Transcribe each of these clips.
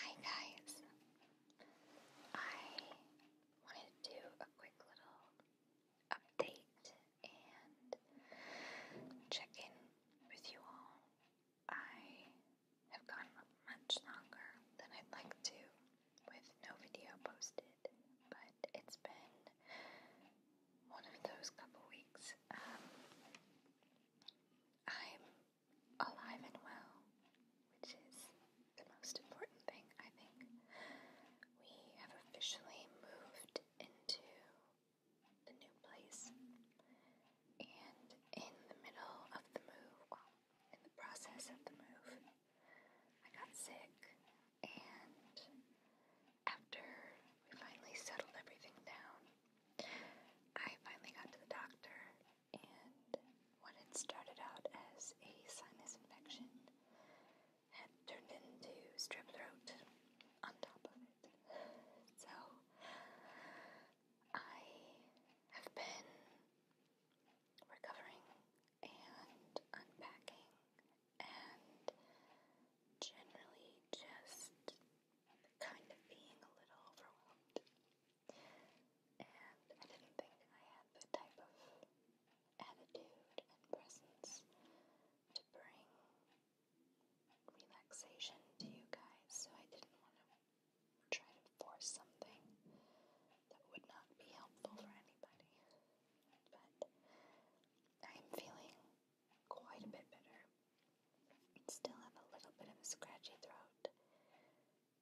Hi guys! I wanted to do a quick little update and check in with you all. I have gone much longer than I'd like to with no video posted, but it's been one of those couple weeks. Um, I'm alive and well, which is the most important thing, I think. We have officially moved into a new place, and in the middle of the move, well, in the process of the move, I got sick, and after we finally settled everything down, I finally got to the doctor, and when it started out as a sinus infection had turned into strep throat on top of it. So, I have been recovering and unpacking and generally just kind of being a little overwhelmed. And I didn't think I had the type of attitude and presence to bring relaxation to you guys, so I didn't want to try to force something that would not be helpful for anybody. But I'm feeling quite a bit better. Still have a little bit of a scratchy throat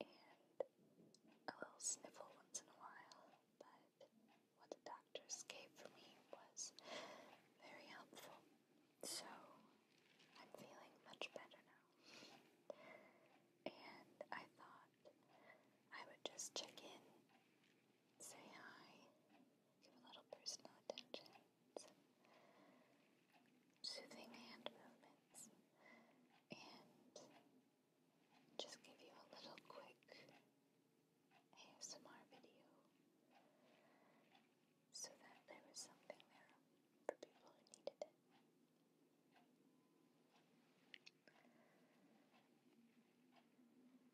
and a little sniffle once in a while, but what the doctors gave for me was very helpful. So I'm feeling much better now. And I thought I would just check in, say hi, give a little personal attention, soothing hand movements, and just give you a little quick ASMR video so that there something there for people who needed it.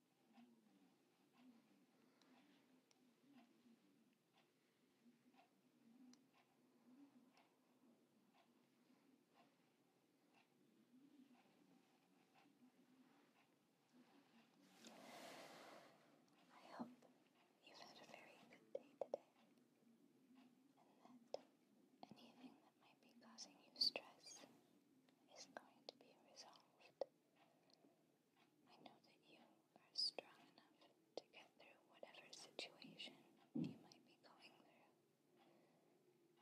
I hope you've had a very good day today, and that anything that might be causing you stress is going to be resolved. I know that you are strong enough to get through whatever situation you might be going through,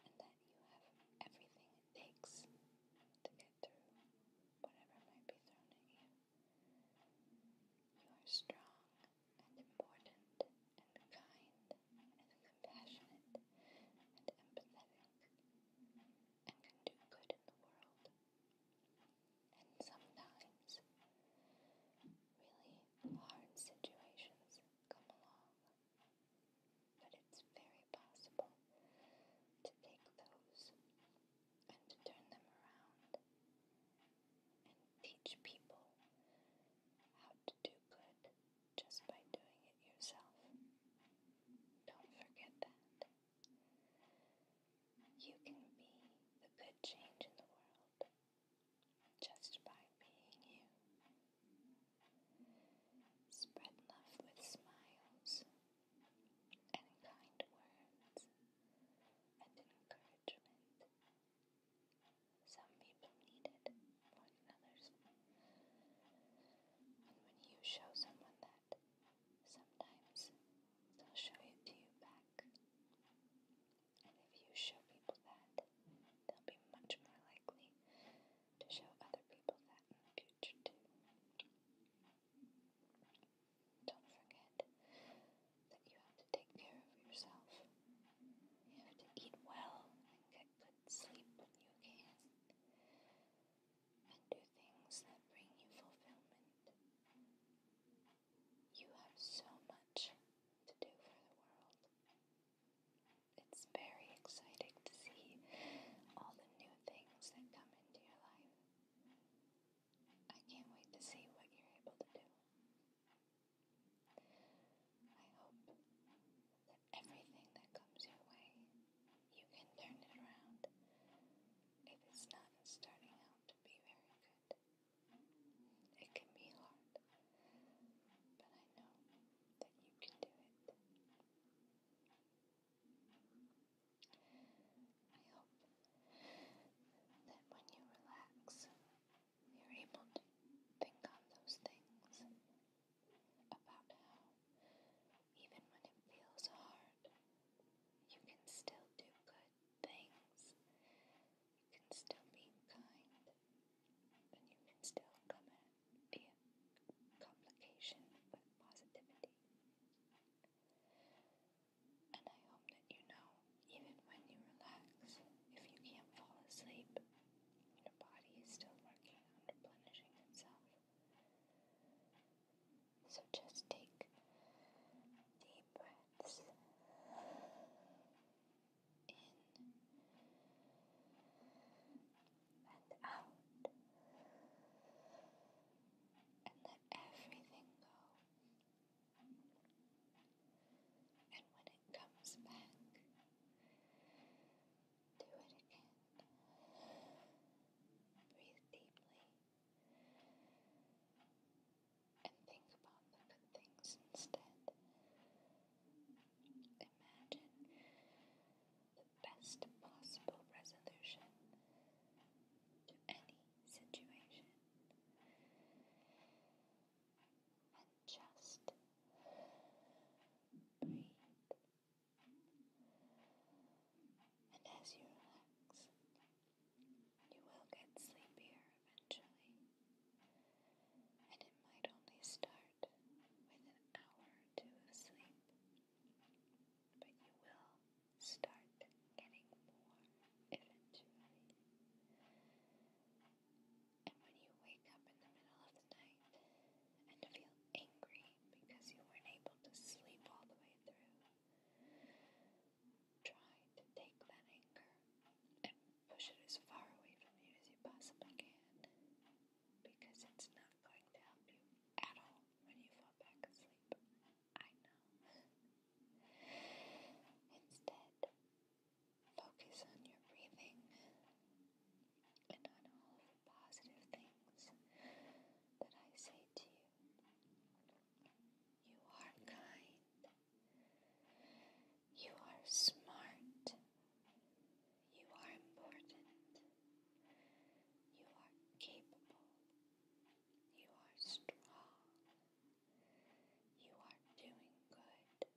and that you have everything it takes to get through whatever might be thrown at you. You are strong and important and kind and compassionate and empathetic and can do good in the world. And sometimes really hard situations come along, but it's very possible to take those and turn them around and teach people how to do good just by doing it yourself. Don't forget that. You can be the good change in the world just by being you. Spread love with smiles and kind words and encouragement. Some people need it upon others. And when you show someone that, sometimes they'll show it to you back. And if you show people that, they'll be much more likely to show other people that in the future too. Don't forget that you have to take care of yourself. You have to eat well and get good sleep you can, and do things that bring you fulfillment. You have so much to do for the world. It's very exciting to see all the new things that come into your life. I can't wait to see what you're able to do. I hope everything that comes your way, you can turn it around if it's not starting out to be very good. It can be hard, but I know that you can do it. I hope that when you relax, you're able to think on those things about how, even when it feels hard, you can still do good things, you can still be kind, and you can still come at yeah, complication with positivity. And I hope that you know, even when you relax, if you can't fall asleep, your body is still working on replenishing itself. So just take deep breaths in and out. And let everything go. And when it comes back, do it again. Breathe deeply and think about the good things instead. Imagine the best possible resolution to any situation and just breathe. And as you relax, you will get sleepier eventually, and it might only start with an hour or sleep, but you will start getting more eventually. And when you wake up in the middle of the night and feel angry because you weren't able to sleep all the way through, try to take that anger and push it as far away from you as you possibly can because it's not going to help you at all when you fall back asleep. I know. Instead, Focus on your breathing and on all positive things that I say to you. You are kind. You are smart. You are important. You are capable. You are strong. You are doing good.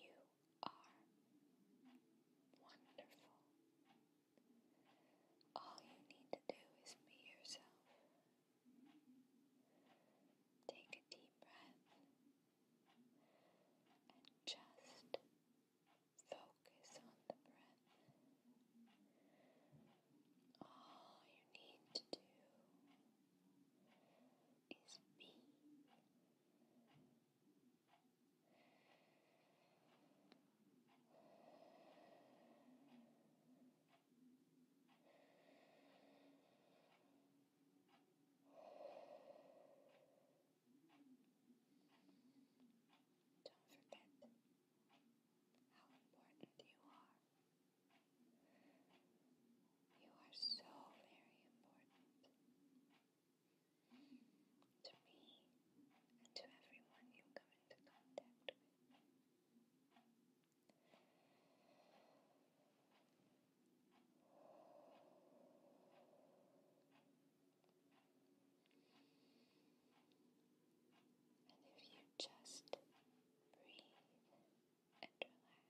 You are wonderful. All you need to do is be yourself. Take a deep breath and just focus on the breath. All you need to do is me. Don't forget how important you are. You are so very important to me and to everyone you come into contact with. And if you just breathe and relax.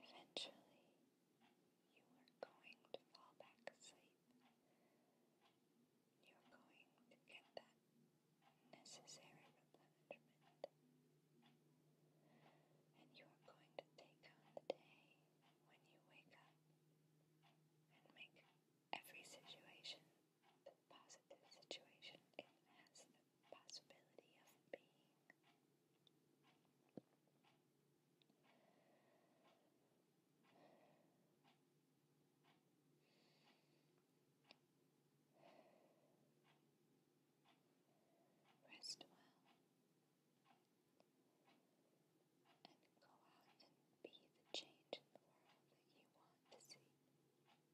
Eventually, you are going to fall back asleep. You're going to get that necessary replenishment. And you are going to take on the day when you wake up and make every situation the positive situation, it has the possibility of being. Rest well and go out and be the change in the world that you want to see.